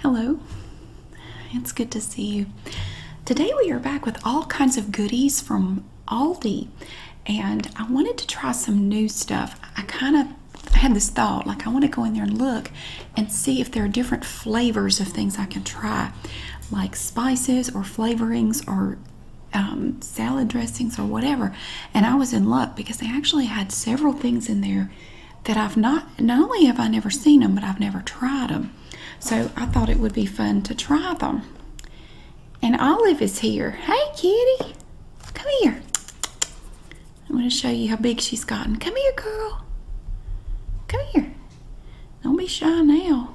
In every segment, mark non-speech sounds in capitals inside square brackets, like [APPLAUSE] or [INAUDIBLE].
Hello, it's good to see you. Today we are back with all kinds of goodies from Aldi, and I wanted to try some new stuff. I kind of had this thought like, I want to go in there and look and see if there are different flavors of things I can try, like spices or flavorings or um, salad dressings or whatever. And I was in luck because they actually had several things in there that I've not, not only have I never seen them, but I've never tried them. So I thought it would be fun to try them. And Olive is here. Hey, kitty. Come here. I'm going to show you how big she's gotten. Come here, girl. Come here. Don't be shy now.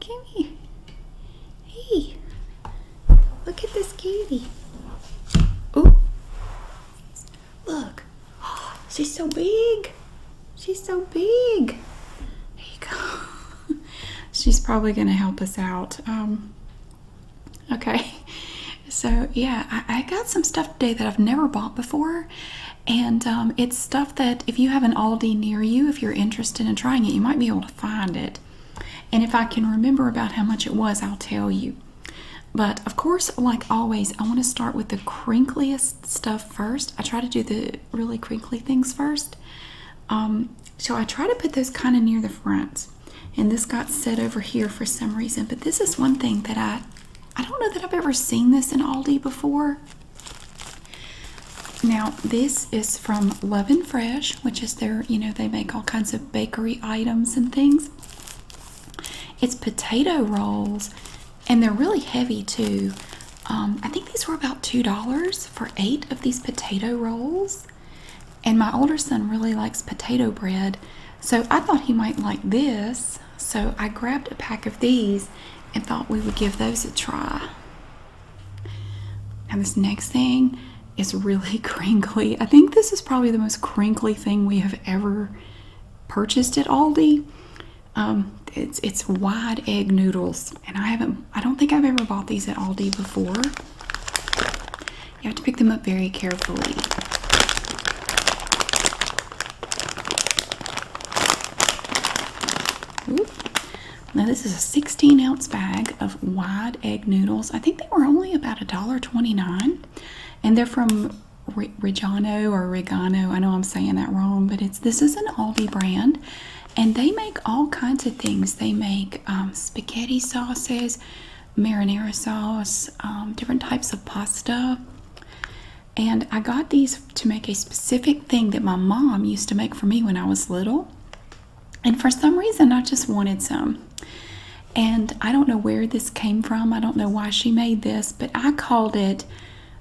Come here. Hey. Look at this kitty. Oh. Look, [GASPS] she's so big. She's so big. There you go. [LAUGHS] she's probably going to help us out. Um, okay. [LAUGHS] So, yeah, I, got some stuff today that I've never bought before. And um, it's stuff that if you have an Aldi near you, if you're interested in trying it, you might be able to find it. And if I can remember about how much it was, I'll tell you. But of course, like always, I want to start with the crinkliest stuff first. I try to do the really crinkly things first. Um, so I try to put those kind of near the front. And this got set over here for some reason. But this is one thing that I I don't know that I've ever seen this in Aldi before. Now, this is from Love and Fresh, which is their, you know, they make all kinds of bakery items and things. It's potato rolls, and they're really heavy too. Um, I think these were about $2 for eight of these potato rolls. And my older son really likes potato bread, so I thought he might like this. So I grabbed a pack of these and thought we would give those a try. And this next thing is really [LAUGHS] crinkly. I think this is probably the most crinkly thing we have ever purchased at Aldi. Um, it's it's wide egg noodles, and I haven't. I don't think I've ever bought these at Aldi before. You have to pick them up very carefully. Now this is a 16 ounce bag of wide egg noodles. I think they were only about a dollar twenty nine, and they're from Reggiano or Regano. I know I'm saying that wrong, but it's this is an Aldi brand, and they make all kinds of things. They make um, spaghetti sauces, marinara sauce, um, different types of pasta. And I got these to make a specific thing that my mom used to make for me when I was little. And for some reason, I just wanted some. And I don't know where this came from. I don't know why she made this, but I called it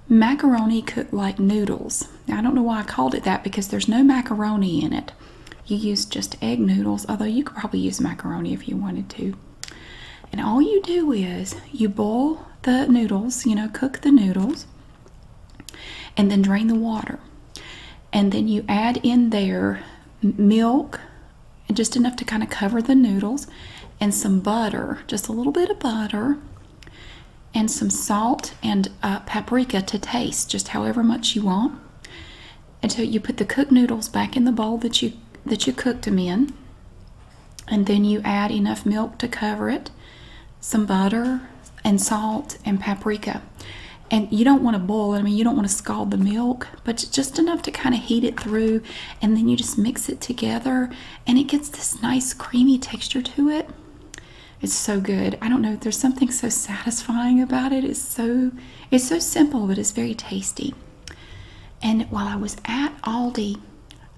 macaroni cooked like noodles. I don't know why I called it that because there's no macaroni in it. You use just egg noodles, although you could probably use macaroni if you wanted to. And all you do is you boil the noodles, you know, cook the noodles, and then drain the water. And then you add in there milk, and just enough to kind of cover the noodles, and some butter, just a little bit of butter, and some salt and uh, paprika to taste, just however much you want. Until you put the cooked noodles back in the bowl that you that you cooked them in, and then you add enough milk to cover it, some butter and salt and paprika. And you don't want to boil it. I mean, you don't want to scald the milk but just enough to kind of heat it through, and then you just mix it together, and it gets this nice creamy texture to it. It's so good. I don't know. There's something so satisfying about it. It's so it's so simple, but it's very tasty. And while I was at Aldi,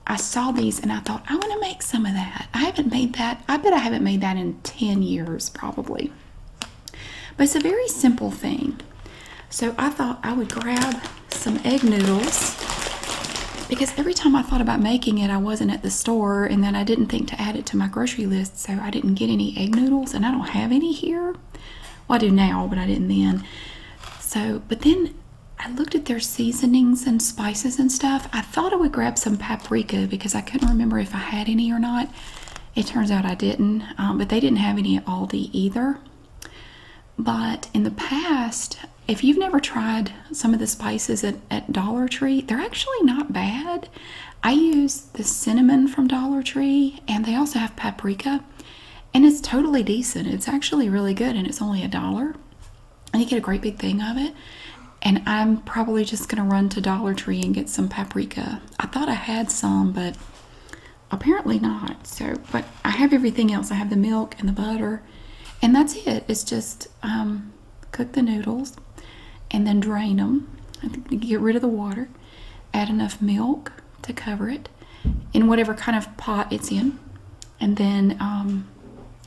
I saw these and I thought, I want to make some of that. I haven't made that. I bet I haven't made that in 10 years, probably. But it's a very simple thing. So I thought I would grab some egg noodles because every time I thought about making it, I wasn't at the store and then I didn't think to add it to my grocery list, so I didn't get any egg noodles and I don't have any here. Well, I do now, but I didn't then. So, but then I looked at their seasonings and spices and stuff. I thought I would grab some paprika because I couldn't remember if I had any or not. It turns out I didn't, um, but they didn't have any at Aldi either. But in the past, if you've never tried some of the spices at, Dollar Tree, they're actually not bad. I use the cinnamon from Dollar Tree, and they also have paprika, and it's totally decent. It's actually really good, and it's only a dollar. And you get a great big thing of it. And I'm probably just going to run to Dollar Tree and get some paprika. I thought I had some, but Apparently not. So, but I have everything else. I have the milk and the butter, and that's it. It's just um, cook the noodles and then drain them. Get rid of the water. Add enough milk to cover it in whatever kind of pot it's in, and then um,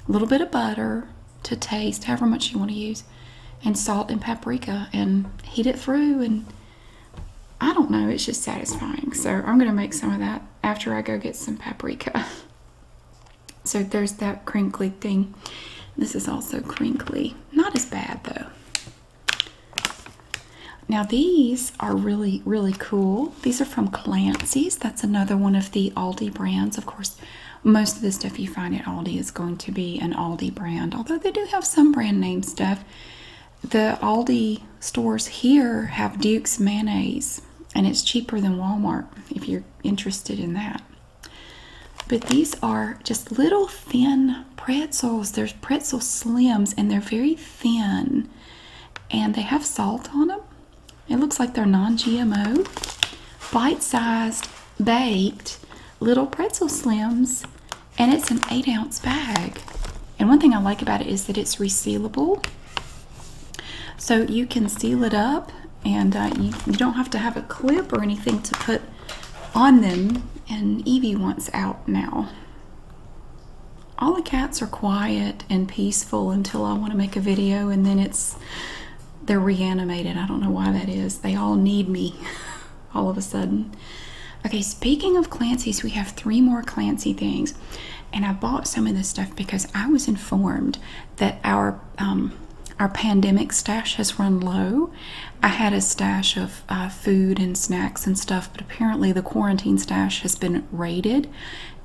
a little bit of butter to taste, however much you want to use, and salt and paprika, and heat it through and I don't know, it's just satisfying. So I'm going to make some of that after I go get some paprika. [LAUGHS] So there's that crinkly thing. This is also crinkly. Not as bad though. Now these are really, really cool. These are from Clancy's. That's another one of the Aldi brands. Of course, most of the stuff you find at Aldi is going to be an Aldi brand, although they do have some brand name stuff the Aldi stores here have Duke's mayonnaise, and it's cheaper than Walmart if you're interested in that. But these are just little thin pretzels. There's pretzel slims, and they're very thin, and they have salt on them. It looks like they're non-GMO, bite-sized, baked little pretzel slims and it's an eight ounce bag. And one thing I like about it is that it's resealable. So you can seal it up and uh, you, you don't have to have a clip or anything to put on them. And Evie wants out now. All the cats are quiet and peaceful until I want to make a video and then it's they're reanimated. I don't know why that is. They all need me [LAUGHS] all of a sudden. Okay, speaking of Clancy's, we have three more Clancy things. And I bought some of this stuff because I was informed that our um, our pandemic stash has run low. I had a stash of uh, food and snacks and stuff, but apparently the quarantine stash has been raided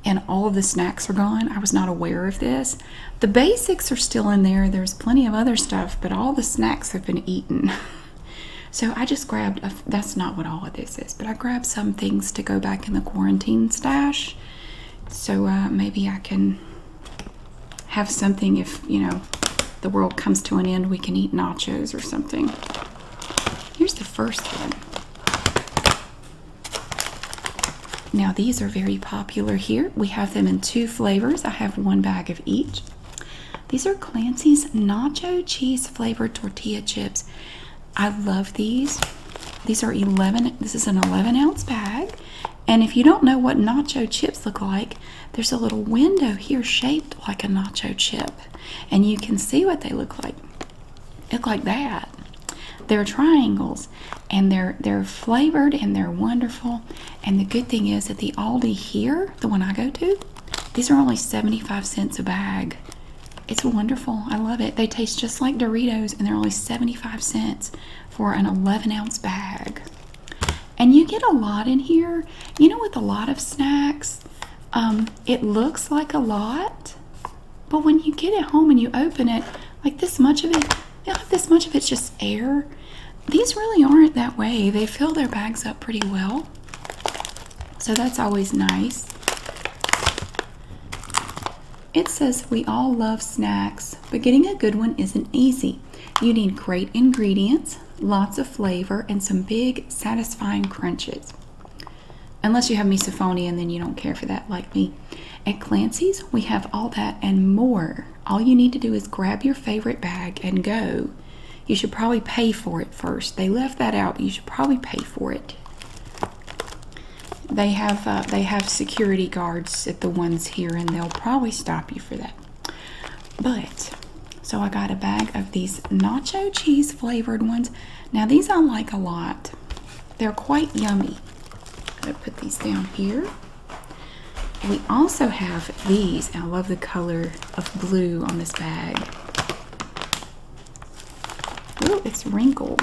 and all of the snacks are gone. I was not aware of this. The basics are still in there. There's plenty of other stuff, but all the snacks have been eaten. [LAUGHS] So I just grabbed, a, that's not what all of this is, but I grabbed some things to go back in the quarantine stash. So uh, maybe I can have something if, you know, the world comes to an end, we can eat nachos or something. Here's the first one. Now these are very popular here. We have them in two flavors. I have one bag of each. These are Clancy's Nacho Cheese Flavored Tortilla Chips. I love these. These are 11, this is an 11 ounce bag. And if you don't know what nacho chips look like, there's a little window here shaped like a nacho chip. And you can see what they look like. Look like that. They're triangles and they're they're flavored and they're wonderful. And the good thing is that the Aldi here, the one I go to, these are only 75 cents a bag. It's wonderful. I love it. They taste just like Doritos and they're only 75 cents for an 11 ounce bag. And you get a lot in here. You know, with a lot of snacks, um, it looks like a lot, but when you get it home and you open it, like this much of it, this much of it's just air. These really aren't that way. They fill their bags up pretty well. So that's always nice. It says we all love snacks, but getting a good one isn't easy. You need great ingredients, lots of flavor, and some big, satisfying crunches. Unless you have misophonia and then you don't care for that like me. At Clancy's, we have all that and more. All you need to do is grab your favorite bag and go. You should probably pay for it first. They left that out. You should probably pay for it. They have uh, they have security guards at the ones here, and they'll probably stop you for that. But so I got a bag of these nacho cheese flavored ones. Now these I like a lot. They're quite yummy. I'm gonna put these down here. We also have these. I love the color of blue on this bag. Ooh, it's wrinkled.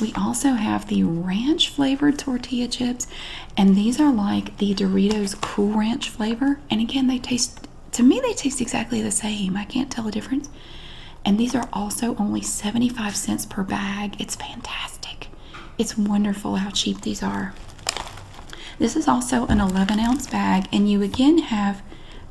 We also have the ranch flavored tortilla chips, and these are like the Doritos Cool Ranch flavor. And again, they taste to me they taste exactly the same. I can't tell a difference. And these are also only 75 cents per bag. It's fantastic. It's wonderful how cheap these are. This is also an 11 ounce bag, and you again have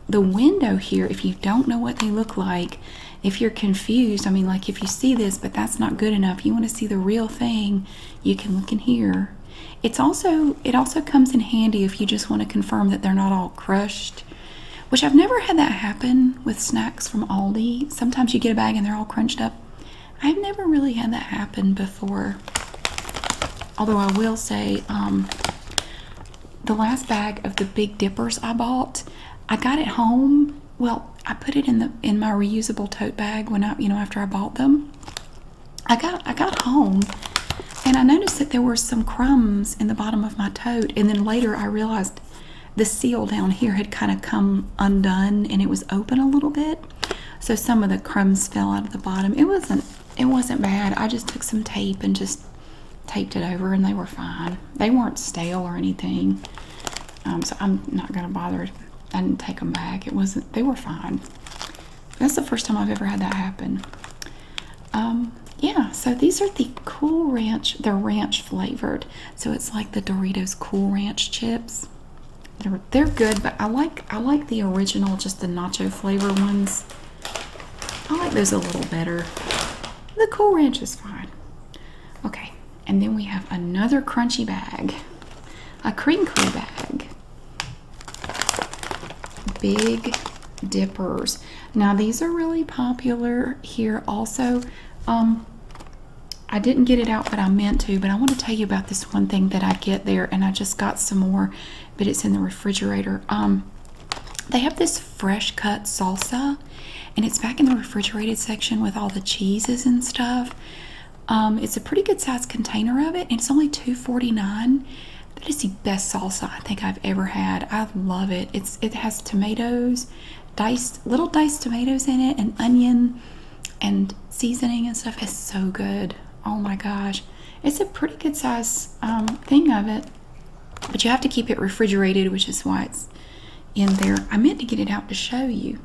the window here. If you don't know what they look like, if you're confused, I mean, like if you see this, but that's not good enough, you want to see the real thing, you can look in here. It's also it also comes in handy if you just want to confirm that they're not all crushed, which I've never had that happen with snacks from Aldi. Sometimes you get a bag and they're all crunched up. I've never really had that happen before. Although I will say, um, the last bag of the Big Dippers I bought, I got it home. Well, I put it in the in my reusable tote bag when I, you know, after I bought them. I got I got home, and I noticed that there were some crumbs in the bottom of my tote. And then later I realized the seal down here had kind of come undone, and it was open a little bit. So some of the crumbs fell out of the bottom. It wasn't it wasn't bad. I just took some tape and just taped it over and they were fine. They weren't stale or anything. Um, so I'm not gonna bother. I didn't take them back. It wasn't they were fine. That's the first time I've ever had that happen. Um, yeah, so these are the Cool Ranch. The ranch flavored. So it's like the Doritos Cool Ranch chips. They're, good, but I like I like the original, just the nacho flavor ones. I like those a little better. The Cool Ranch is fine. Okay, and then we have another crunchy bag, a crinkly bag. Big dippers. Now these are really popular here also. Um, I didn't get it out, but I meant to. But I want to tell you about this one thing that I get there, and I just got some more, but it's in the refrigerator. Um, they have this fresh cut salsa, and it's back in the refrigerated section with all the cheeses and stuff. Um, it's a pretty good sized container of it, and it's only 2.49. is the best salsa I think I've ever had. I love it. It's it has tomatoes, diced little diced tomatoes in it, and onion and seasoning and stuff is so good. Oh my gosh, it's a pretty good size um, thing of it, but you have to keep it refrigerated, which is why it's in there. I meant to get it out to show you,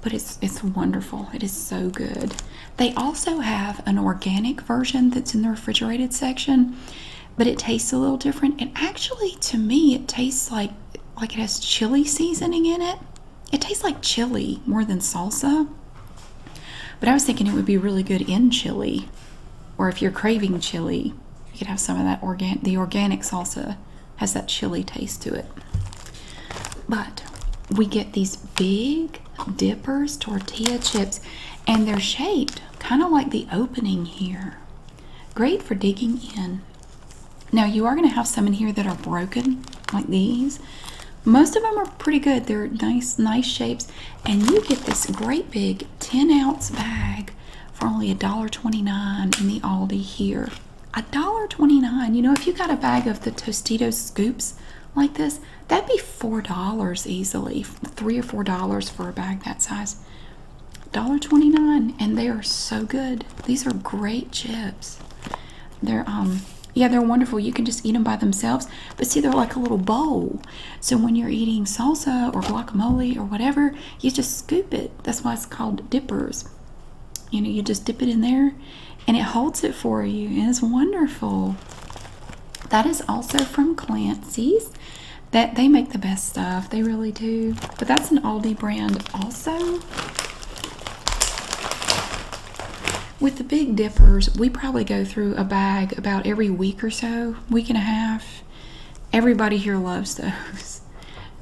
but it's it's wonderful. It is so good. They also have an organic version that's in the refrigerated section, but it tastes a little different. And actually, to me, it tastes like like it has chili seasoning in it. It tastes like chili more than salsa. But I was thinking it would be really good in chili. Or if you're craving chili, you could have some of that organic the organic salsa has that chili taste to it. But we get these big dippers tortilla chips and they're shaped kind of like the opening here. Great for digging in. Now you are going to have some in here that are broken like these, most of them are pretty good. They're nice, nice shapes. And you get this great big 10 ounce bag for only $1.29 in the Aldi here. $1.29. You know, if you got a bag of the Tostitos scoops like this, that'd be $4 easily. Three or four dollars for a bag that size. $1.29. And they are so good. These are great chips. They're um yeah, they're wonderful. You can just eat them by themselves, but see, they're like a little bowl. So when you're eating salsa or guacamole or whatever, you just scoop it. That's why it's called dippers. You know, you just dip it in there and it holds it for you, and it's wonderful. That is also from Clancy's. That they make the best stuff. They really do. But that's an Aldi brand also. With the Big Dippers, we probably go through a bag about every week or so, week and a half. Everybody here loves those. [LAUGHS]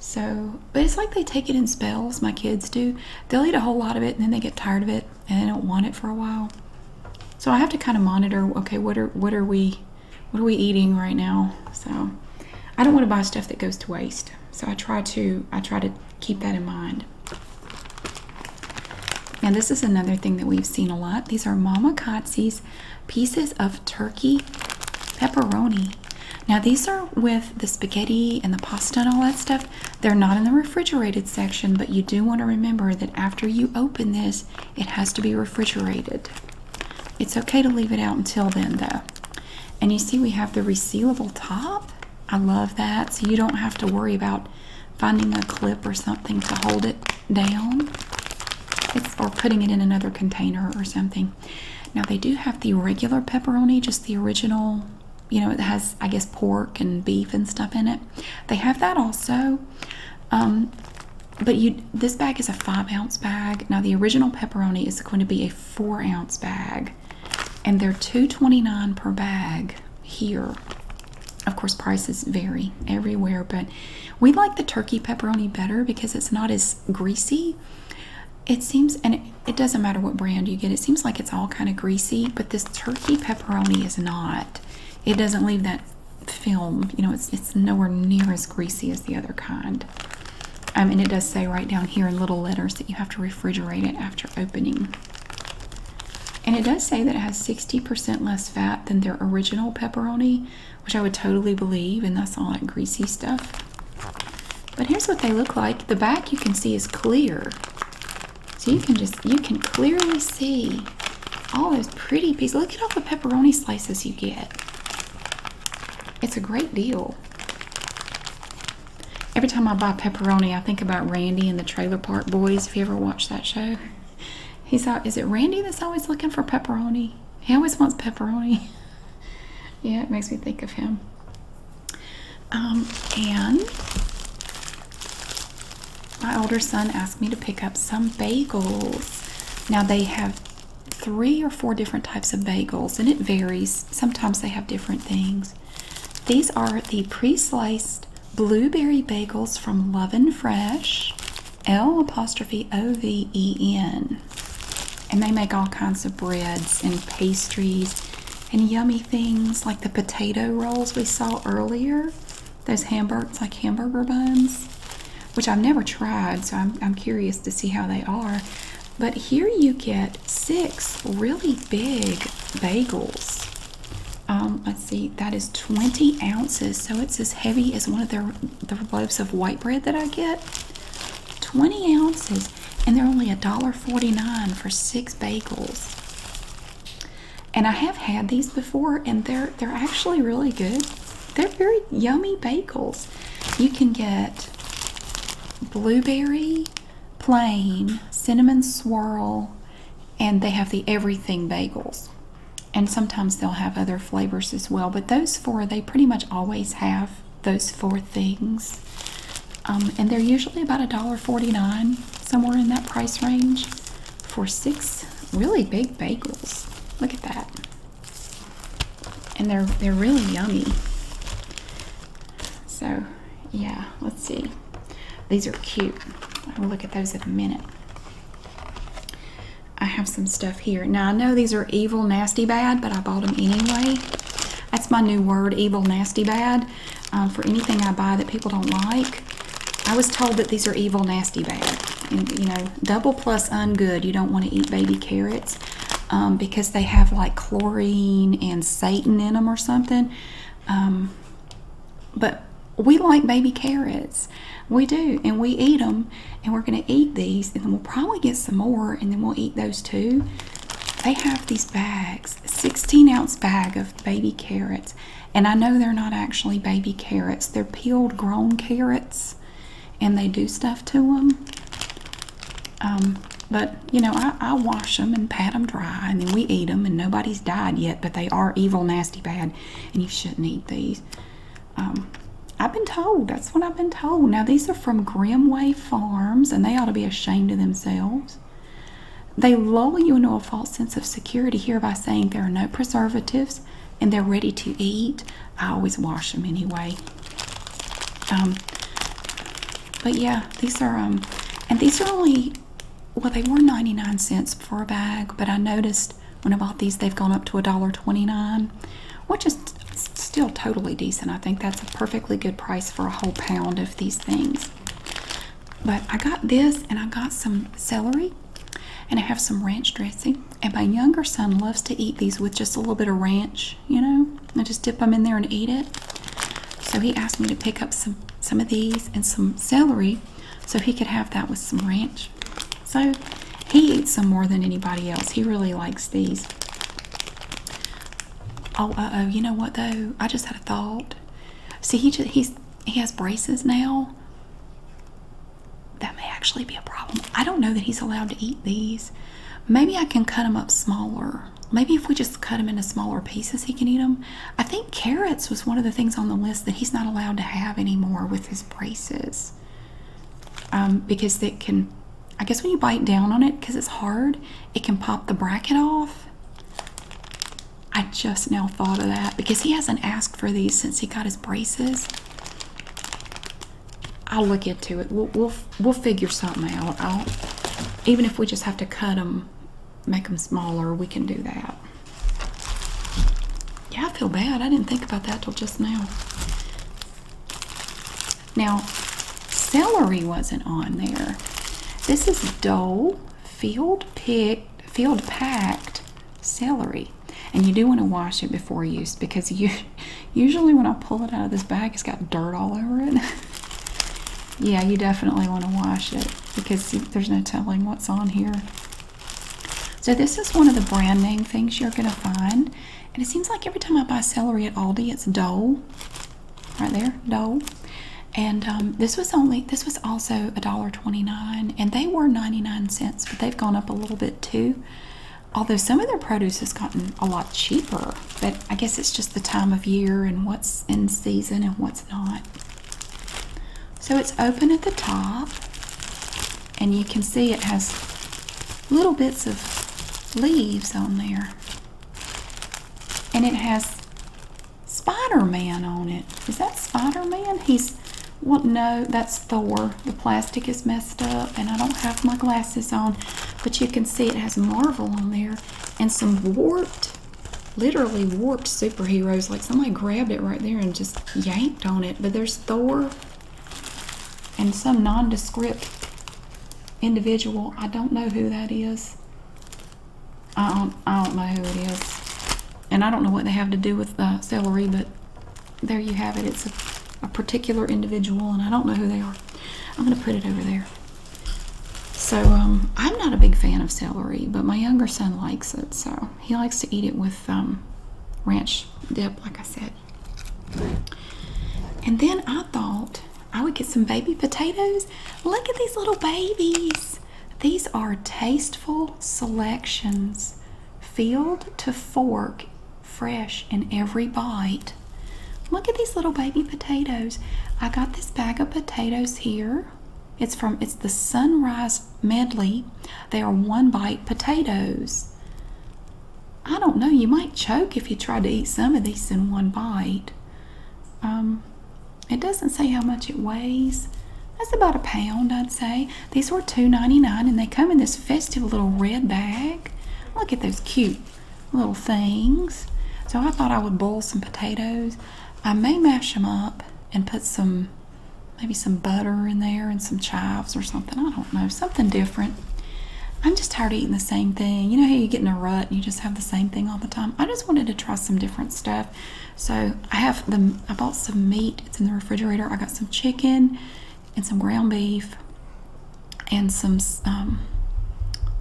So, but it's like they take it in spells, my kids do. They'll eat a whole lot of it and then they get tired of it and they don't want it for a while. So I have to kind of monitor, okay, what are what are we what are we eating right now? So I don't want to buy stuff that goes to waste. So I try to I try to keep that in mind. Now this is another thing that we've seen a lot. These are Mama Kotze's pieces of turkey pepperoni. Now these are with the spaghetti and the pasta and all that stuff. They're not in the refrigerated section, but you do want to remember that after you open this, it has to be refrigerated. It's okay to leave it out until then though. And you see we have the resealable top. I love that. So you don't have to worry about finding a clip or something to hold it down or putting it in another container or something. Now they do have the regular pepperoni, just the original, you know, it has, I guess, pork and beef and stuff in it. They have that also. Um, but you, this bag is a five ounce bag. Now the original pepperoni is going to be a four ounce bag and they are 2.29 per bag here. Of course, prices vary everywhere, but we like the turkey pepperoni better because it's not as greasy. It seems, and it, doesn't matter what brand you get, it seems like it's all kind of greasy, but this turkey pepperoni is not. It doesn't leave that film, you know, it's, it's nowhere near as greasy as the other kind. and it does say right down here in little letters that you have to refrigerate it after opening. And it does say that it has 60% less fat than their original pepperoni, which I would totally believe, and that's all that greasy stuff. But here's what they look like. The back you can see is clear. So you can just, you can clearly see all those pretty pieces. Look at all the pepperoni slices you get. It's a great deal. Every time I buy pepperoni, I think about Randy and the Trailer Park Boys. If you ever watched that show, he's out. Is it Randy that's always looking for pepperoni? He always wants pepperoni. [LAUGHS] yeah, it makes me think of him. Um, and my older son asked me to pick up some bagels. Now they have three or four different types of bagels, and it varies. Sometimes they have different things. These are the pre-sliced blueberry bagels from Love and Fresh, L apostrophe O V E N. And they make all kinds of breads and pastries and yummy things like the potato rolls we saw earlier. Those hamburgers, like hamburger buns, which I've never tried, so I'm curious to see how they are. But here you get six really big bagels. Um, let's see, that is 20 ounces, so it's as heavy as one of their the loaves of white bread that I get. 20 ounces, and they're only a dollar 49 for six bagels. And I have had these before, and they're they're actually really good. They're very yummy bagels. You can get blueberry, plain, cinnamon swirl, and they have the everything bagels. And sometimes they'll have other flavors as well, but those four, they pretty much always have those four things. Um, and they're usually about a dollar forty-nine somewhere in that price range, for six really big bagels. Look at that. And they're, they're really yummy. So yeah, let's see. These are cute. I'll look at those in a minute. I have some stuff here. Now, I know these are evil, nasty, bad, but I bought them anyway. That's my new word, evil, nasty, bad, um, for anything I buy that people don't like. I was told that these are evil, nasty, bad. And, you know, double plus ungood. You don't want to eat baby carrots um, because they have like chlorine and Satan in them or something. Um, but we like baby carrots. We do, and we eat them, and we're going to eat these, and then we'll probably get some more, and then we'll eat those too. They have these bags, 16 ounce bag of baby carrots, and I know they're not actually baby carrots. They're peeled grown carrots, and they do stuff to them. Um, but you know, I, wash them and pat them dry, and then we eat them, and nobody's died yet. But they are evil, nasty, bad, and you shouldn't eat these. Um, I've been told. That's what I've been told. Now these are from Grimway Farms, and they ought to be ashamed of themselves. They lull you into a false sense of security here by saying there are no preservatives and they're ready to eat. I always wash them anyway. Um, but yeah, these are um, and these are only well, they were 99 cents for a bag, but I noticed when I bought these, they've gone up to $1.29, which is still totally decent. I think that's a perfectly good price for a whole pound of these things. But I got this and I got some celery and I have some ranch dressing. And my younger son loves to eat these with just a little bit of ranch, you know, I just dip them in there and eat it. So he asked me to pick up some some of these and some celery so he could have that with some ranch. So he eats some more than anybody else. He really likes these. Oh, uh oh, you know what though? I just had a thought. See, he just, he's he has braces now. That may actually be a problem. I don't know that he's allowed to eat these. Maybe I can cut them up smaller Maybe if we just cut them into smaller pieces, he can eat them. I think carrots was one of the things on the list that he's not allowed to have anymore with his braces. Um, because they can, I guess when you bite down on it, because it's hard, it can pop the bracket off. I just now thought of that because he hasn't asked for these since he got his braces. I'll look into it. We'll, we'll, figure something out. even if we just have to cut them make them smaller, we can do that. Yeah, I feel bad. I didn't think about that till just now. Now, celery wasn't on there. This is Dole field pick, field packed celery, and you do want to wash it before use because you [LAUGHS] usually when I pull it out of this bag, it's got dirt all over it. [LAUGHS] Yeah, you definitely want to wash it because there's no telling what's on here. So this is one of the brand name things you're going to find. And it seems like every time I buy celery at Aldi, it's Dole. Right there, Dole. And um, this was only this was also a dollar twenty nine, and they were 99 cents, but they've gone up a little bit too. Although some of their produce has gotten a lot cheaper but I guess it's just the time of year and what's in season and what's not. So it's open at the top, and you can see it has little bits of leaves on there. And it has Spider Man on it. Is that Spider Man? He's, well, no, that's Thor. The plastic is messed up, and I don't have my glasses on. But you can see it has Marvel on there and some warped literally warped superheroes. Like somebody grabbed it right there and just yanked on it. But there's Thor and some nondescript individual. I don't know who that is. I don't, know who it is. And I don't know what they have to do with celery, but there you have it. It's a particular individual, and I don't know who they are. I'm going to put it over there. So um, I'm not a big fan of celery, but my younger son likes it, so he likes to eat it with um, ranch dip, like I said. And then I thought I would get some baby potatoes. Look at these little babies. These are tasteful selections, field to fork, fresh in every bite. Look at these little baby potatoes. I got this bag of potatoes here. It's from it's the Sunrise Medley. They are one bite potatoes. I don't know, you might choke if you tried to eat some of these in one bite. Um, it doesn't say how much it weighs. That's about a pound, I'd say. These were two ninety nine, and they come in this festive little red bag. Look at those cute little things. So I thought I would boil some potatoes. I may mash them up and put some, maybe some butter in there and some chives or something. I don't know, something different. I'm just tired of eating the same thing. You know how you get in a rut and you just have the same thing all the time? I just wanted to try some different stuff. So I have the, I bought some meat. It's in the refrigerator. I got some chicken and some ground beef and some um,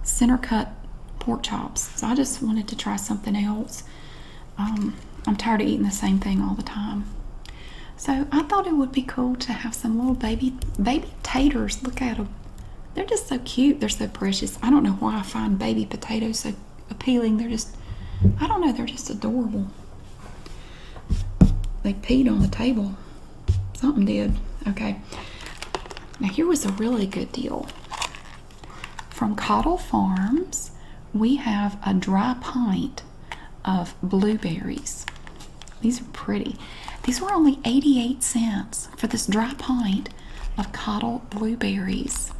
center cut pork chops so I just wanted to try something else. Um, I'm tired of eating the same thing all the time. So I thought it would be cool to have some little baby baby taters. Look at them. They're just so cute. They're so precious. I don't know why I find baby potatoes so appealing. They're just, I don't know, they're just adorable. They peed on the table. Something did. Okay. Now here was a really good deal. From Cottle Farms, we have a dry pint of blueberries. These are pretty. These were only 88 cents for this dry pint of Cottle blueberries.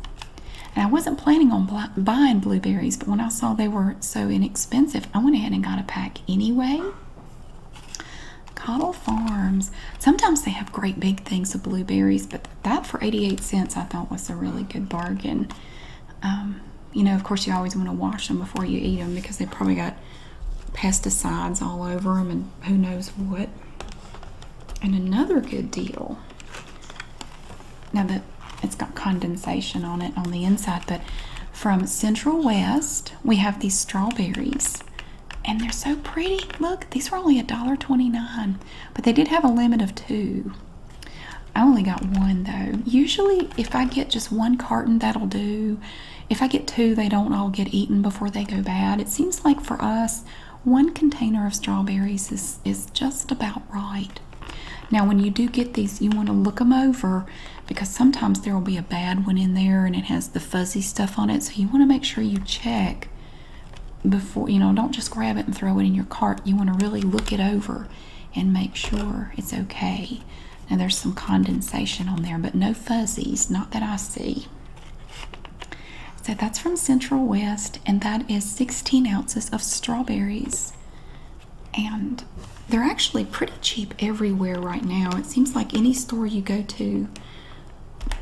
And I wasn't planning on buying blueberries, but when I saw they were so inexpensive, I went ahead and got a pack anyway. Cattle Farms. Sometimes they have great big things of blueberries, but that for 88 cents I thought was a really good bargain. Um, you know, of course, you always want to wash them before you eat them because they probably got pesticides all over them and who knows what. And another good deal. Now that it's got condensation on it on the inside, but from Central West, we have these strawberries and they're so pretty. Look, these were only a dollar twenty-nine, but they did have a limit of two. I only got one though. Usually, if I get just one carton, that'll do. If I get two, they don't all get eaten before they go bad. It seems like for us, one container of strawberries is, is just about right. Now, when you do get these, you want to look them over because sometimes there will be a bad one in there and it has the fuzzy stuff on it. So you want to make sure you check before you know don't just grab it and throw it in your cart you want to really look it over and make sure it's okay now there's some condensation on there but no fuzzies not that i see so that's from central west and that is 16 ounces of strawberries and they're actually pretty cheap everywhere right now it seems like any store you go to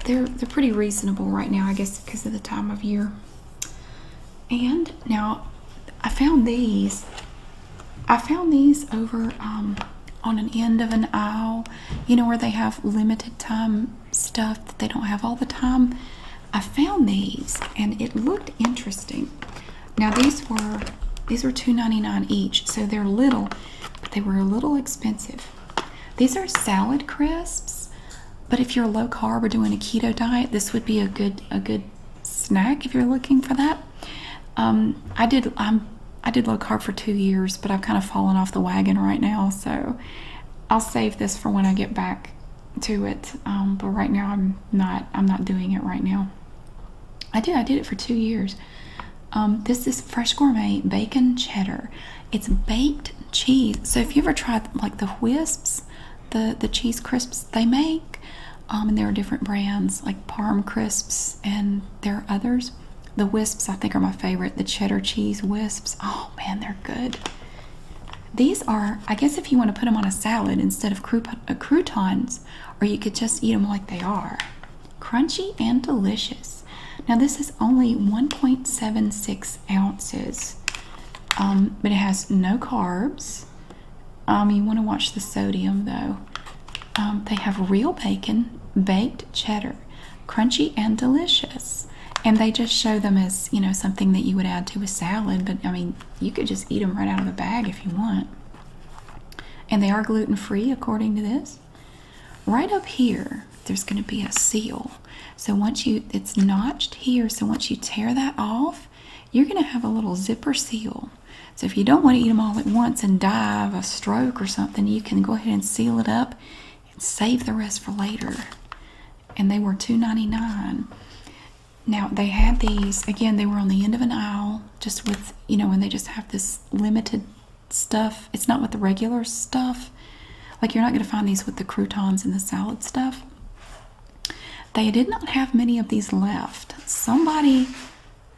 they're they're pretty reasonable right now, I guess, because of the time of year. And now, I found these. I found these over um, on an end of an aisle, you know, where they have limited time stuff that they don't have all the time. I found these, and it looked interesting. Now these were these were 2 each, so they're little, but they were a little expensive. These are salad crisps, but if you're low carb or doing a keto diet, this would be a good a good snack if you're looking for that. Um, I did I'm I did low carb for two years, but I've kind of fallen off the wagon right now, so I'll save this for when I get back to it. Um, but right now I'm not I'm not doing it right now. I did I did it for two years, um, this is Fresh Gourmet Bacon Cheddar. It's baked cheese. So if you ever tried like the Wisps, the the cheese crisps they make, um, and there are different brands like Parm Crisps and there are others. The Wisps I think are my favorite. The cheddar cheese wisps. Oh man, they're good. These are, I guess, if you want to put them on a salad instead of uh, croutons, or you could just eat them like they are. Crunchy and delicious. Now this is only 1.76 ounces, um, but it has no carbs. Um, you want to watch the sodium though. Um, they have real bacon, baked cheddar, crunchy and delicious. And they just show them as you know something that you would add to a salad, but I mean you could just eat them right out of the bag if you want. And they are gluten free according to this. Right up here, there's going to be a seal. So once you, it's notched here. So once you tear that off, you're going to have a little zipper seal. So if you don't want to eat them all at once and die of a stroke or something, you can go ahead and seal it up and save the rest for later. And they were $2.99. Now they had these, again, they were on the end of an aisle, just with, you know, when they just have this limited stuff. It's not with the regular stuff. Like you're not going to find these with the croutons and the salad stuff. They did not have many of these left. Somebody,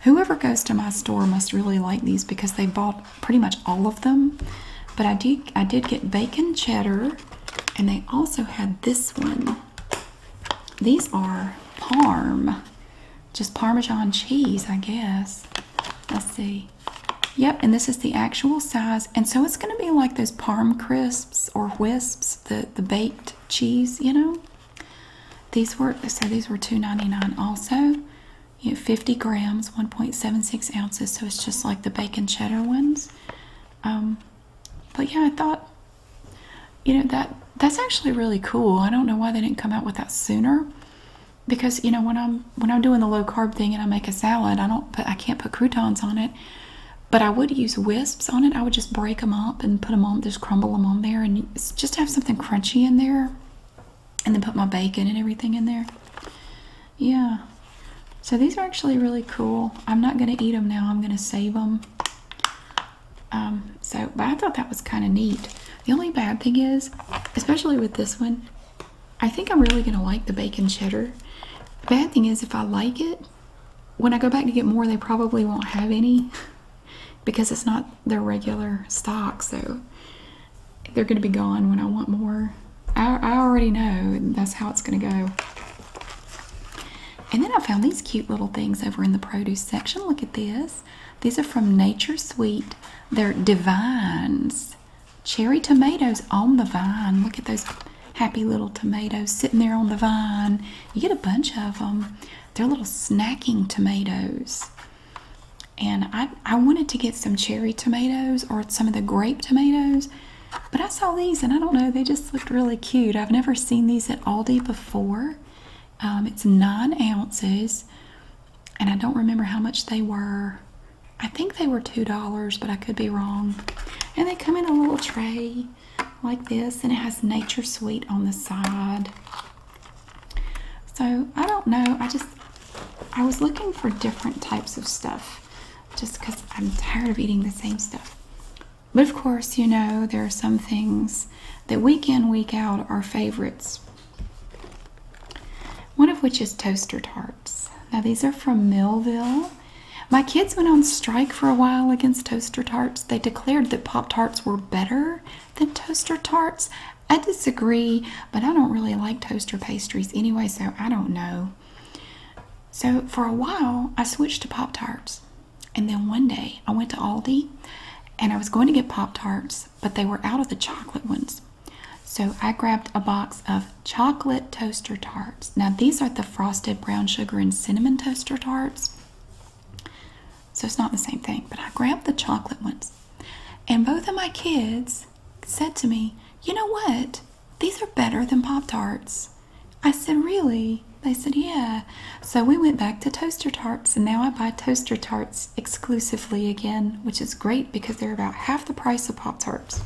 whoever goes to my store must really like these because they bought pretty much all of them. But I did, I did get bacon cheddar and they also had this one. These are parm, just Parmesan cheese, I guess. Let's see. Yep, and this is the actual size. And so it's going to be like those Parm crisps or wisps, the, the baked cheese, you know. These were so these were two ninety nine also. 50 grams, 1.76 ounces, so it's just like the bacon cheddar ones. Um, but yeah, I thought you know that that's actually really cool. I don't know why they didn't come out with that sooner because you know when I'm when I'm doing the low carb thing and I make a salad, I don't but I can't put croutons on it, but I would use wisps on it. I would just break them up and put them on, just crumble them on there, and just have something crunchy in there, and then put my bacon and everything in there. Yeah. So these are actually really cool. I'm not gonna eat them now. I'm gonna save them. Um, so, but I thought that was kind of neat. The only bad thing is, especially with this one, I think I'm really gonna like the bacon cheddar. The bad thing is if I like it, when I go back to get more, they probably won't have any [LAUGHS] because it's not their regular stock, so they're gonna be gone when I want more. I, I already know that's how it's gonna go. And then I found these cute little things over in the produce section. Look at this. These are from Nature Sweet. They're divines cherry tomatoes on the vine. Look at those happy little tomatoes sitting there on the vine. You get a bunch of them. They're little snacking tomatoes. And I, I wanted to get some cherry tomatoes or some of the grape tomatoes, but I saw these and I don't know, they just looked really cute. I've never seen these at Aldi before. Um, it's nine ounces, and I don't remember how much they were. I think they were $2, but I could be wrong. And they come in a little tray like this, and it has Nature Sweet on the side. So I don't know. I just, I was looking for different types of stuff just because I'm tired of eating the same stuff. But of course, you know, there are some things that week in, week out are favorites one of which is toaster tarts. Now, these are from Millville. My kids went on strike for a while against toaster tarts. They declared that Pop Tarts were better than toaster tarts. I disagree, but I don't really like toaster pastries anyway, so I don't know. So, for a while, I switched to Pop Tarts. And then one day, I went to Aldi and I was going to get Pop Tarts but they were out of the chocolate ones. So I grabbed a box of chocolate toaster tarts. Now, these are the frosted brown sugar and cinnamon toaster tarts. So it's not the same thing, but I grabbed the chocolate ones. And both of my kids said to me, You know what? These are better than Pop Tarts. I said, Really? They said, Yeah. So we went back to toaster tarts, and now I buy toaster tarts exclusively again, which is great because they're about half the price of Pop Tarts.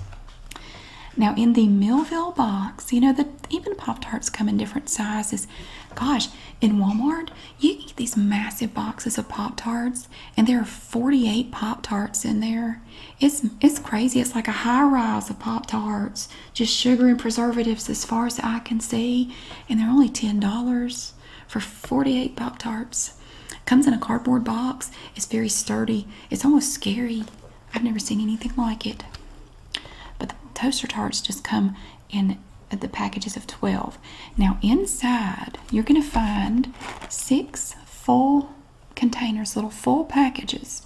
Now, in the Millville box, you know, the, even Pop Tarts come in different sizes. Gosh, in Walmart, you get these massive boxes of Pop Tarts, and there are 48 Pop Tarts in there. It's, it's crazy. It's like a high rise of Pop Tarts, just sugar and preservatives as far as I can see, and they're only $10 for 48 Pop Tarts. Comes in a cardboard box. It's very sturdy. It's almost scary. I've never seen anything like it. But the toaster tarts just come in the packages of 12. Now inside you're going to find six full containers, little full packages.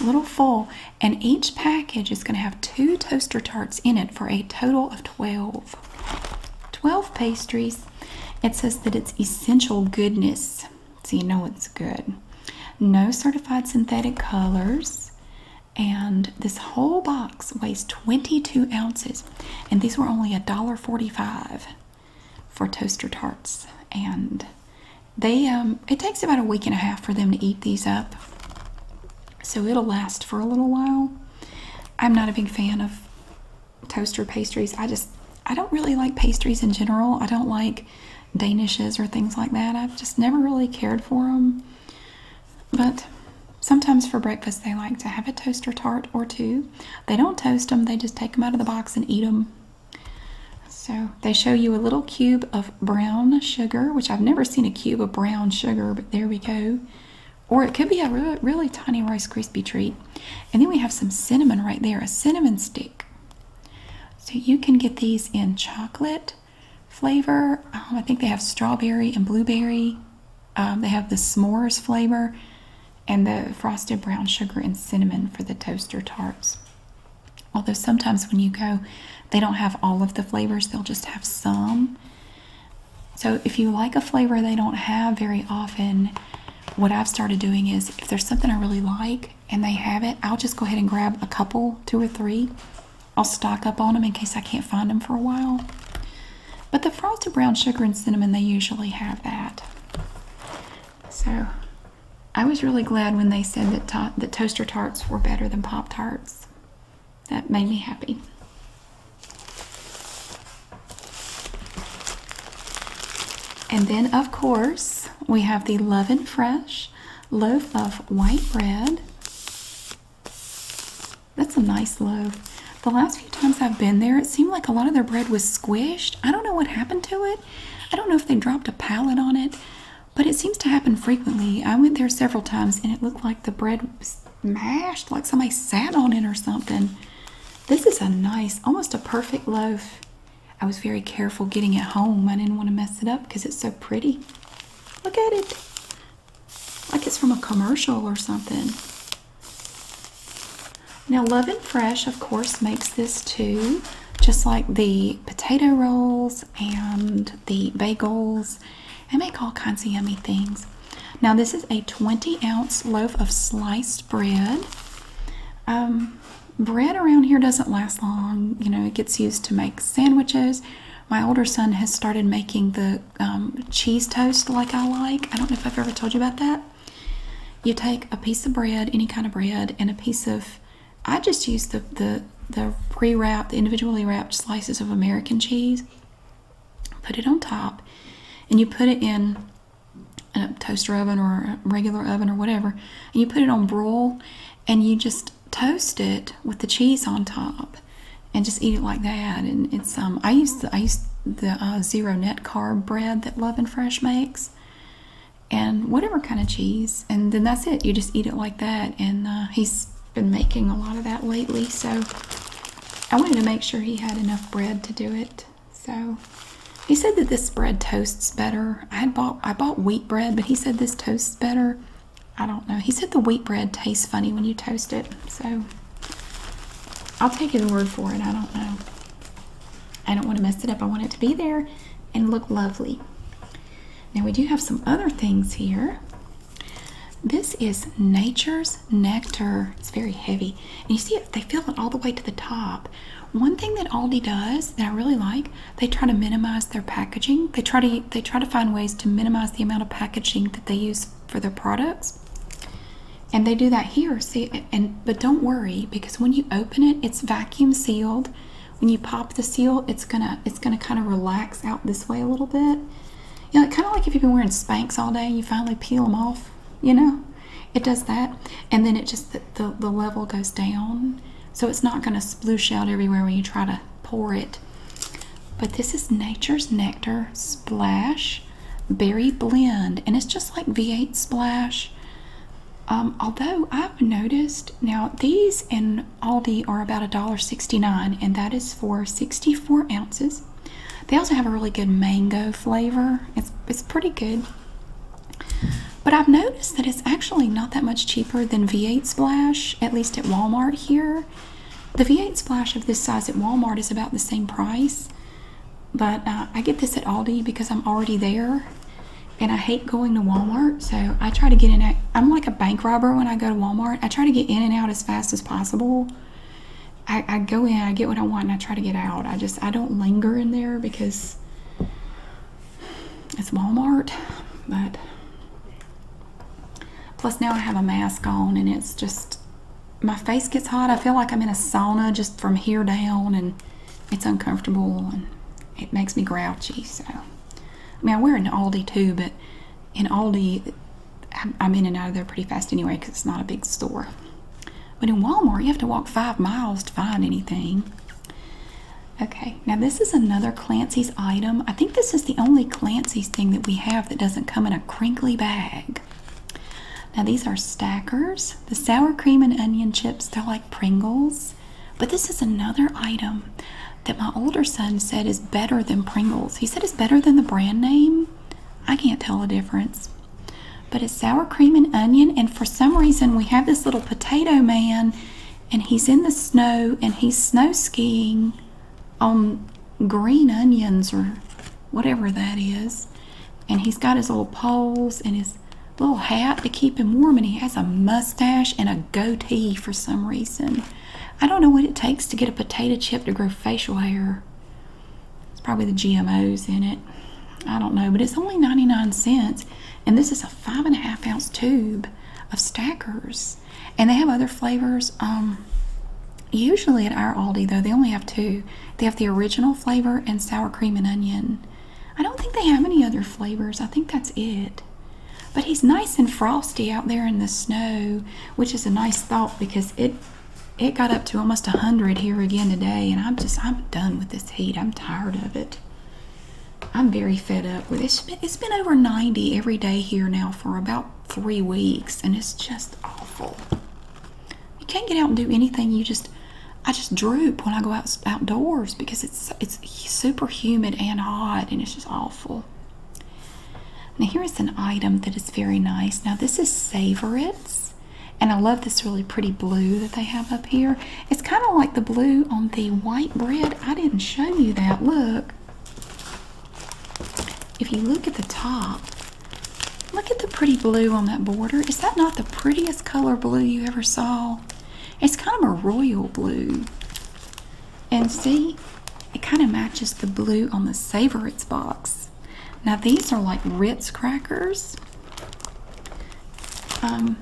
Little full, and each package is going to have two toaster tarts in it for a total of 12. 12 pastries it says that it's essential goodness, so you know it's good. No certified synthetic colors. And this whole box weighs 22 ounces. And these were only $1.45 for toaster tarts. And they um, it takes about a week and a half for them to eat these up. So it'll last for a little while. I'm not a big fan of toaster pastries. I just, I don't really like pastries in general. I don't like danishes or things like that. I've just never really cared for them. But sometimes for breakfast, they like to have a toaster tart or two. They don't toast them, they just take them out of the box and eat them. So they show you a little cube of brown sugar, which I've never seen a cube of brown sugar, but there we go or it could be a really tiny Rice Krispie treat. And then we have some cinnamon right there, a cinnamon stick. So you can get these in chocolate flavor. Um, I think they have strawberry and blueberry. Um, they have the s'mores flavor and the frosted brown sugar and cinnamon for the toaster tarts. Although sometimes when you go, they don't have all of the flavors, they'll just have some. So if you like a flavor they don't have very often, what I've started doing is if there's something I really like and they have it, I'll just go ahead and grab a couple, two or three. I'll stock up on them in case I can't find them for a while. But the frosted brown sugar and cinnamon, they usually have that. So I was really glad when they said that, to toaster tarts were better than Pop Tarts. That made me happy. And then, of course, we have the Love and Fresh loaf of white bread. That's a nice loaf. The last few times I've been there, it seemed like a lot of their bread was squished. I don't know what happened to it. I don't know if they dropped a pallet on it, but it seems to happen frequently. I went there several times and it looked like the bread was mashed, like somebody sat on it or something. This is a nice, almost a perfect loaf. I was very careful getting it home. I didn't want to mess it up because it's so pretty. Look at it. Like it's from a commercial or something. Now, Love and Fresh, of course, makes this too, just like the potato rolls and the bagels. They make all kinds of yummy things. Now, this is a 20 ounce loaf of sliced bread. Um, bread around here doesn't last long, you know, it gets used to make sandwiches. My older son has started making the um, cheese toast like I like. I don't know if I've ever told you about that. You take a piece of bread, any kind of bread, and a piece of, I just use the, the, the pre wrapped, the individually wrapped slices of American cheese. Put it on top, and you put it in a toaster oven or a regular oven or whatever, and you put it on broil, and you just toast it with the cheese on top, and just eat it like that. And it's um I use the I use the uh, zero net carb bread that Love and Fresh makes, and whatever kind of cheese, and then that's it. You just eat it like that. And uh, he's been making a lot of that lately, so I wanted to make sure he had enough bread to do it. So he said that this bread toasts better. I had bought I bought wheat bread, but he said this toasts better. I don't know. He said the wheat bread tastes funny when you toast it. So I'll take his word for it. I don't know. I don't want to mess it up. I want it to be there and look lovely. Now we do have some other things here. This is Nature's nectar. It's very heavy. And you see it, they fill it all the way to the top. One thing that Aldi does that I really like, they try to minimize their packaging. They try to they try to find ways to minimize the amount of packaging that they use for their products. And they do that here. See and but don't worry because when you open it, it's vacuum sealed. When you pop the seal, it's gonna it's gonna kind of relax out this way a little bit. You know, kind of like if you've been wearing Spanx all day, you finally peel them off you know? It does that. And then it just, the, the, level goes down. So it's not going to splush out everywhere when you try to pour it. But this is Nature's Nectar Splash Berry Blend. And it's just like V8 Splash. Um, although I've noticed now these in Aldi are about $1.69 and that is for 64 ounces they also have a really good mango flavor. It's it's pretty good. But I've noticed that it's actually not that much cheaper than V8 Splash, at least at Walmart here. The V8 Splash of this size at Walmart is about the same price, but uh, I get this at Aldi because I'm already there and I hate going to Walmart. So I try to get in. I'm like a bank robber when I go to Walmart. I try to get in and out as fast as possible. I, go in, I get what I want, and I try to get out. I just I don't linger in there because it's Walmart. But plus now I have a mask on, and it's just my face gets hot. I feel like I'm in a sauna just from here down, and it's uncomfortable and it makes me grouchy. So I mean I wear an Aldi too, but in Aldi I'm in and out of there pretty fast anyway because it's not a big store. But in Walmart, you have to walk five miles to find anything. Okay, now this is another Clancy's item. I think this is the only Clancy's thing that we have that doesn't come in a crinkly bag. Now these are stackers. The sour cream and onion chips, they're like Pringles. But this is another item that my older son said is better than Pringles. He said it's better than the brand name. I can't tell the difference. But it's sour cream and onion, and for some reason, we have this little potato man, and he's in the snow and he's snow skiing on green onions or whatever that is. And he's got his little poles and his little hat to keep him warm, and he has a mustache and a goatee for some reason. I don't know what it takes to get a potato chip to grow facial hair. It's probably the GMOs in it. I don't know, but it's only 99 cents. And this is a five and a half ounce tube of Stackers. And they have other flavors. Um, usually at our Aldi, though, they only have two. They have the original flavor and sour cream and onion. I don't think they have any other flavors. I think that's it. But he's nice and frosty out there in the snow, which is a nice thought because it it got up to almost a 100 here again today and i'm just i'm done with this heat i'm tired of it i'm very fed up with it it's been, it's been over 90 every day here now for about three weeks and it's just awful you can't get out and do anything you just i just droop when i go out outdoors because it's it's super humid and hot and it's just awful now here is an item that is very nice now this is savour it and I love this really pretty blue that they have up here. It's kind of like the blue on the white bread. I didn't show you that. Look. If you look at the top, look at the pretty blue on that border. Is that not the prettiest color blue you ever saw? It's kind of a royal blue. And see, it kind of matches the blue on the Savorites box. Now these are like Ritz crackers. Um,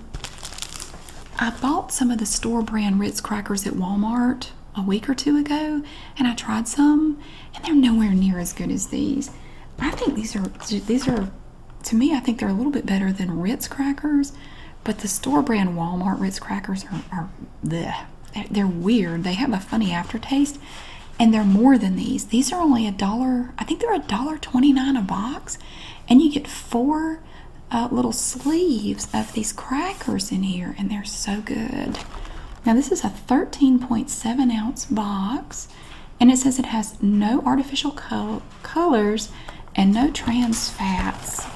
I bought some of the store brand Ritz crackers at Walmart a week or two ago, and I tried some, and they're nowhere near as good as these. I think these are these are to me. I think they're a little bit better than Ritz crackers, but the store brand Walmart Ritz crackers are, are they're weird. They have a funny aftertaste and they're more than these these are only a dollar i think they're a dollar 29 a box and you get four uh, little sleeves of these crackers in here and they're so good now this is a 13.7 ounce box and it says it has no artificial colors and no trans fats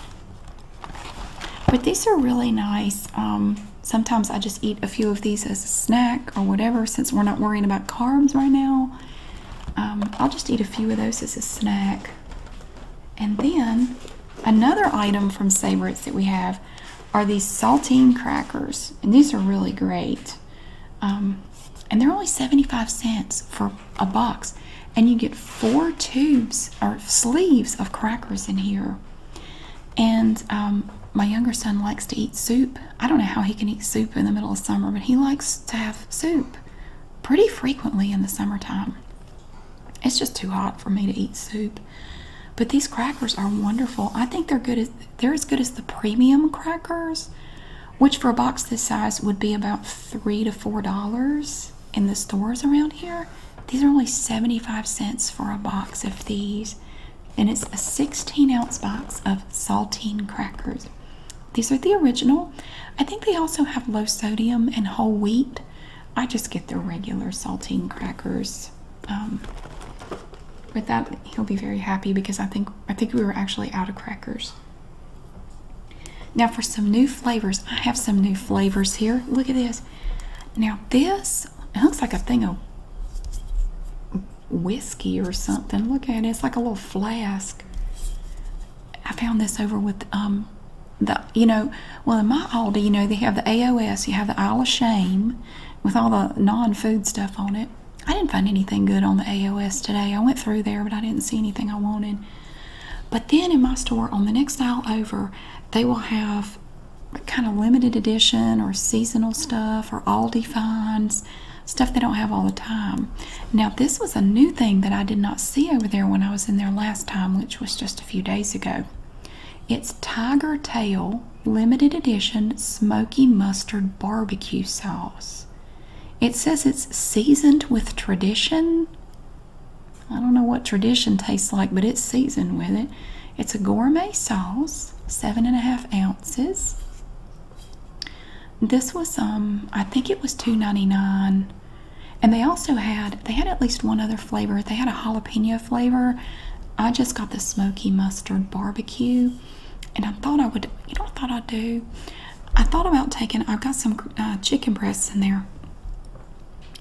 but these are really nice um, sometimes I just eat a few of these as a snack or whatever since we're not worrying about carbs right now. Um, I'll just eat a few of those as a snack. And then another item from Savorites that we have are these saltine crackers. And these are really great. Um, and they're only 75 cents for a box. And you get four tubes or sleeves of crackers in here. And um, my younger son likes to eat soup. I don't know how he can eat soup in the middle of summer, but he likes to have soup pretty frequently in the summertime. It's just too hot for me to eat soup. But these crackers are wonderful. I think they're good they're as good as the premium crackers, which for a box this size would be about three to four dollars in the stores around here. These are only 75 cents for a box of these and it's a 16 ounce box of saltine crackers. These are the original. I think they also have low sodium and whole wheat. I just get the regular saltine crackers. Um, with that, he'll be very happy because I think I think we were actually out of crackers. Now for some new flavors, I have some new flavors here. Look at this. Now this it looks like a thing of whiskey or something. Look at it. It's like a little flask. I found this over with um the you know well in my Aldi you know they have the AOS you have the Isle of Shame with all the non-food stuff on it. I didn't find anything good on the AOS today. I went through there but I didn't see anything I wanted. But then in my store on the next aisle over they will have kind of limited edition or seasonal stuff or Aldi finds, stuff they don't have all the time. Now, this was a new thing that I did not see over there when I was in there last time, which was just a few days ago. It's Tiger Tail Limited Edition Smoky Mustard Barbecue Sauce. It says it's seasoned with tradition. I don't know what tradition tastes like, but it's seasoned with it. It's a gourmet sauce, seven and a half ounces. This was um, I think it was two ninety nine, And they also had they had at least one other flavor. They had a jalapeno flavor. I just got the smoky mustard barbecue. And I thought I would, you know I thought I'd do? I thought about taking, I've got some uh, chicken breasts in there.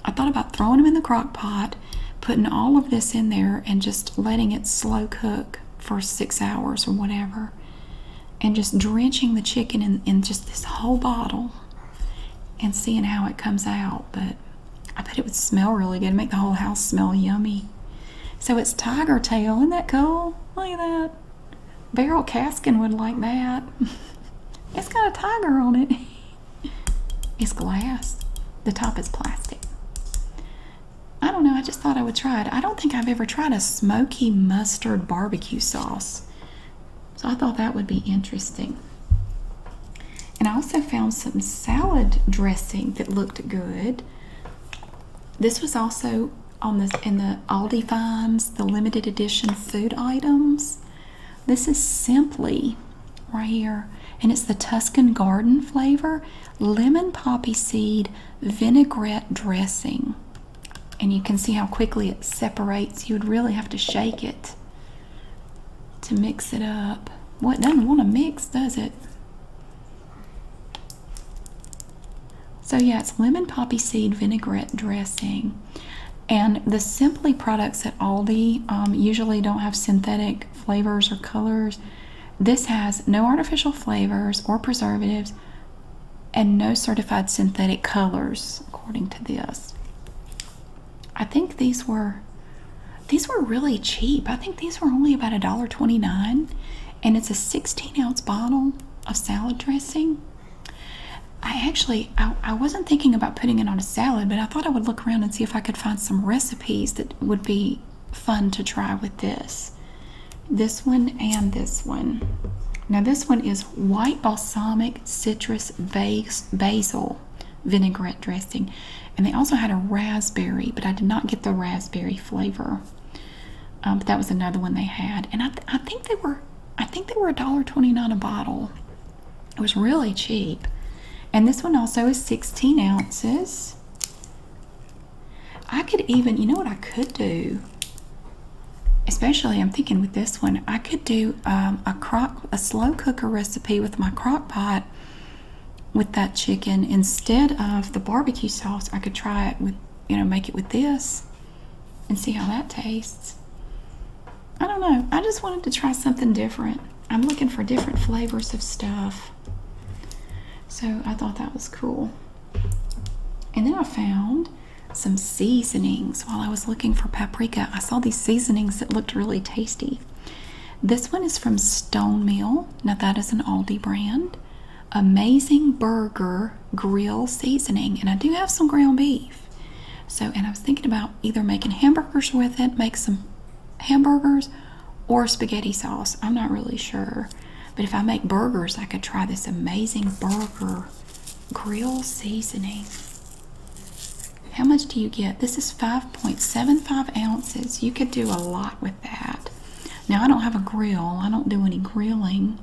I thought about throwing them in the crock pot putting all of this in there and just letting it slow cook for six hours or whatever and just drenching the chicken in, just this whole bottle and seeing how it comes out but i bet it would smell really good make the whole house smell yummy so it's tiger tail isn't that cool look at that beryl caskin would like that [LAUGHS] it's got a tiger on it [LAUGHS] it's glass the top is plastic I don't know, I just thought I would try it. I don't think I've ever tried a smoky mustard barbecue sauce. So I thought that would be interesting. And I also found some salad dressing that looked good. This was also on this in the Aldi finds, the limited edition food items. This is simply right here, and it's the Tuscan Garden flavor lemon poppy seed vinaigrette dressing. And you can see how quickly it separates. You would really have to shake it to mix it up. What doesn't want to mix, does it? So, yeah, it's lemon poppy seed vinaigrette dressing. And the Simply products at Aldi um, usually don't have synthetic flavors or colors. This has no artificial flavors or preservatives and no certified synthetic colors, according to this. I think these were these were really cheap. I think these were only about a dollar twenty nine, and it's a 16 ounce bottle of salad dressing. I actually I wasn't thinking about putting it on a salad, but I thought I would look around and see if I could find some recipes that would be fun to try with this. This one and this one. Now, this one is white balsamic citrus base, basil vinaigrette dressing. And they also had a raspberry, but I did not get the raspberry flavor. Um, but that was another one they had. And I, think they were I think they were $1.29 a bottle. It was really cheap. And this one also is 16 ounces. I could even, you know what I could do? Especially, I'm thinking with this one, I could do um, a crock, a slow cooker recipe with my crock pot with that chicken instead of the barbecue sauce. I could try it with, you know, make it with this and see how that tastes. I don't know. I just wanted to try something different. I'm looking for different flavors of stuff. So I thought that was cool. And then I found some seasonings while I was looking for paprika. I saw these seasonings that looked really tasty. This one is from Stone Mill. Now that is an Aldi brand. Amazing Burger Grill Seasoning. And I do have some ground beef. So, and I was thinking about either making hamburgers with it, make some hamburgers or spaghetti sauce. I'm not really sure. But if I make burgers, I could try this amazing burger grill seasoning. How much do you get? This is 5.75 ounces. You could do a lot with that. Now, I don't have a grill, I don't do any grilling.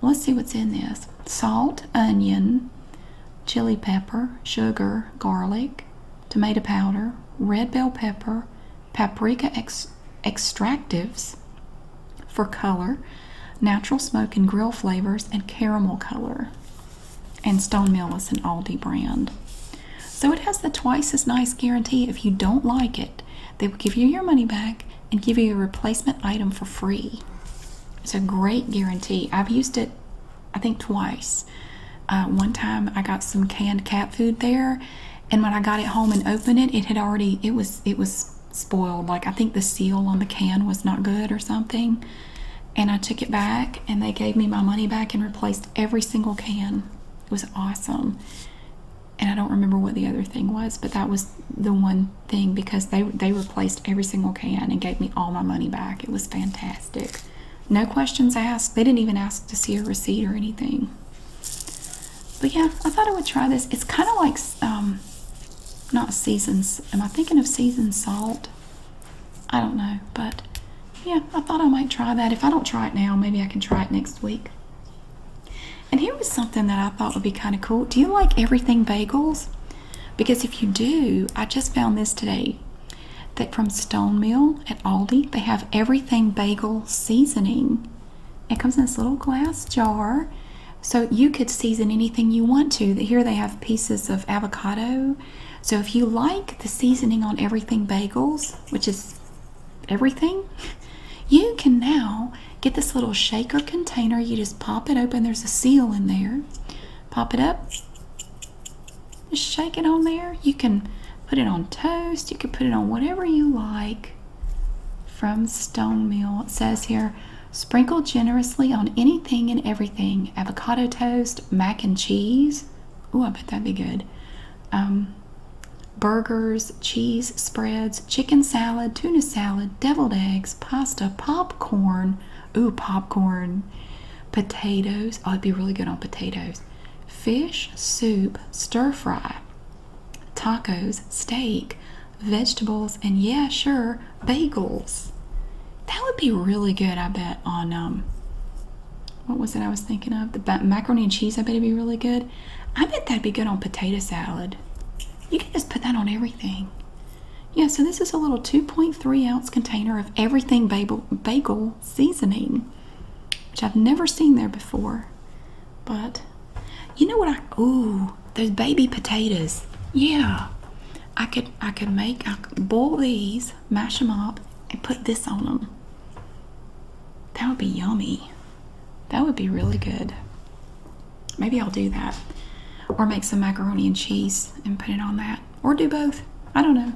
Let's see what's in this salt, onion, chili pepper, sugar, garlic, tomato powder, red bell pepper, paprika extractives for color, natural smoke and grill flavors, and caramel color. And Stone Mill is an Aldi brand. So it has the twice as nice guarantee. If you don't like it, they will give you your money back and give you a replacement item for free. It's a great guarantee. I've used it I think twice. Uh, one time I got some canned cat food there, and when I got it home and opened it, it had already it was it was spoiled. Like I think the seal on the can was not good or something. And I took it back, and they gave me my money back and replaced every single can. It was awesome. And I don't remember what the other thing was, but that was the one thing because they they replaced every single can and gave me all my money back. It was fantastic. No questions asked. They didn't even ask to see a receipt or anything. But yeah, I thought I would try this. It's kind of like, um, not seasons. Am I thinking of seasoned salt? I don't know, but yeah, I thought I might try that. If I don't try it now, maybe I can try it next week. And here was something that I thought would be kind of cool. Do you like everything bagels? Because if you do, I just found this today that from Stone Mill at Aldi, they have everything bagel seasoning. It comes in this little glass jar, so you could season anything you want to. Here they have pieces of avocado. So if you like the seasoning on everything bagels, which is everything, you can now get this little shaker container. You just pop it open, there's a seal in there. Pop it up, just shake it on there. You can put it on toast. You can put it on whatever you like. From Stone Mill, it says here sprinkle generously on anything and everything avocado toast, mac and cheese. Oh, I bet that'd be good. Um, burgers, cheese spreads, chicken salad, tuna salad, deviled eggs, pasta, popcorn. Ooh, popcorn. Potatoes. Oh, it'd be really good on potatoes fish, soup, stir fry, tacos, steak, vegetables, and yeah, sure, bagels. That would be really good, I bet, on um, what was it I was thinking of? The macaroni and cheese, I bet it'd be really good. I bet that'd be good on potato salad. You can just put that on everything. Yeah, so this is a little 2.3 ounce container of everything bagel, bagel seasoning, which I've never seen there before. But you know what I oh those baby potatoes. Yeah. I could I could make I could boil these, mash them up, and put this on them. That would be yummy. That would be really good. Maybe I'll do that. Or make some macaroni and cheese and put it on that. Or do both. I don't know.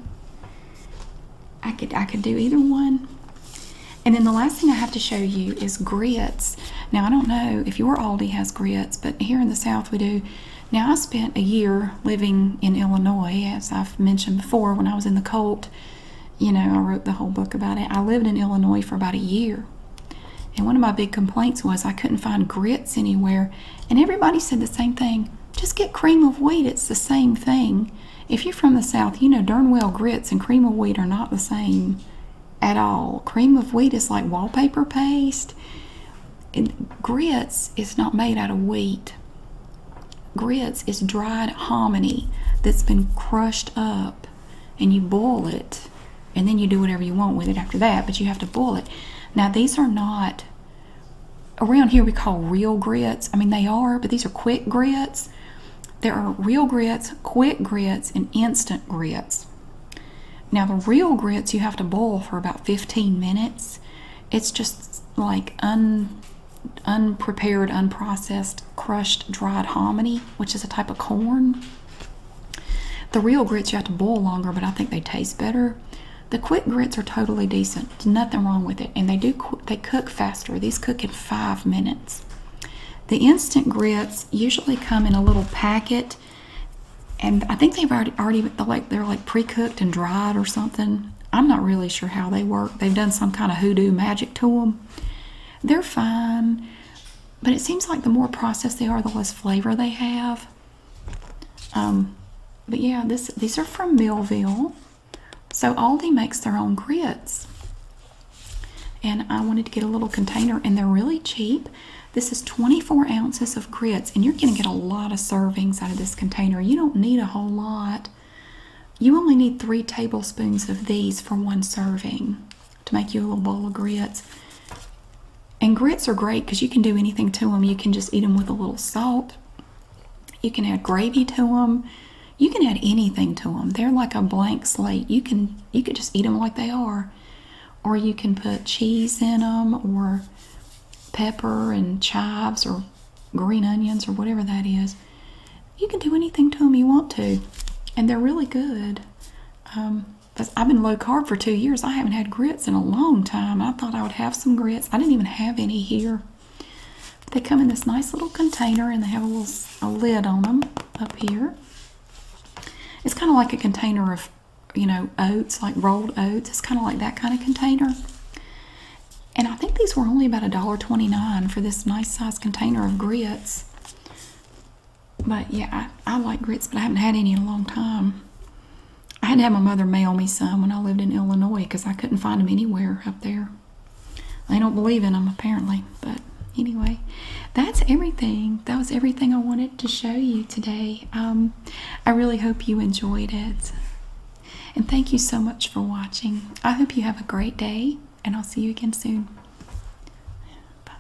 I could I could do either one. And then the last thing I have to show you is grits. Now I don't know if your Aldi has grits, but here in the South we do. Now I spent a year living in Illinois, as I've mentioned before, when I was in the cult. You know, I wrote the whole book about it. I lived in Illinois for about a year. And one of my big complaints was I couldn't find grits anywhere. And everybody said the same thing. Just get cream of wheat, it's the same thing. If you're from the South, you know darn well grits and cream of wheat are not the same at all. Cream of wheat is like wallpaper paste. And grits is not made out of wheat. Grits is dried hominy that's been crushed up and you boil it and then you do whatever you want with it after that, but you have to boil it. Now, these are not around here we call real grits. I mean, they are, but these are quick grits. There are real grits, quick grits, and instant grits. Now, the real grits you have to boil for about 15 minutes. It's just like un, unprepared, unprocessed, crushed, dried hominy, which is a type of corn. The real grits you have to boil longer, but I think they taste better. The quick grits are totally decent. There's nothing wrong with it, and they do they cook faster. These cook in five minutes. The instant grits usually come in a little packet, and I think they've already already like they're like pre-cooked and dried or something. I'm not really sure how they work. They've done some kind of hoodoo magic to them. They're fine, but it seems like the more processed they are, the less flavor they have. Um, but yeah, this these are from Millville. So Aldi makes their own grits. And I wanted to get a little container, and they're really cheap. This is 24 ounces of grits, and you're going to get a lot of servings out of this container. You don't need a whole lot. You only need three tablespoons of these for one serving to make you a little bowl of grits. And grits are great because you can do anything to them. You can just eat them with a little salt you can add gravy to them. You can add anything to them. They're like a blank slate. You can you could just eat them like they are, or you can put cheese in them, or pepper and chives, or green onions, or whatever that is. You can do anything to them you want to, and they're really good. Um, I've been low carb for two years. I haven't had grits in a long time. I thought I would have some grits. I didn't even have any here. They come in this nice little container and they have a little a lid on them up here. It's kind of like a container of, you know, oats, like rolled oats. It's kind of like that kind of container. And I think these were only about a dollar twenty-nine for this nice sized container of grits. But yeah, I, I like grits, but I haven't had any in a long time. I had to have my mother mail me some when I lived in Illinois because I couldn't find them anywhere up there. They don't believe in them apparently, but anyway, that's everything. That was everything I wanted to show you today. Um, I really hope you enjoyed it. And thank you so much for watching. I hope you have a great day, and I'll see you again soon. Bye.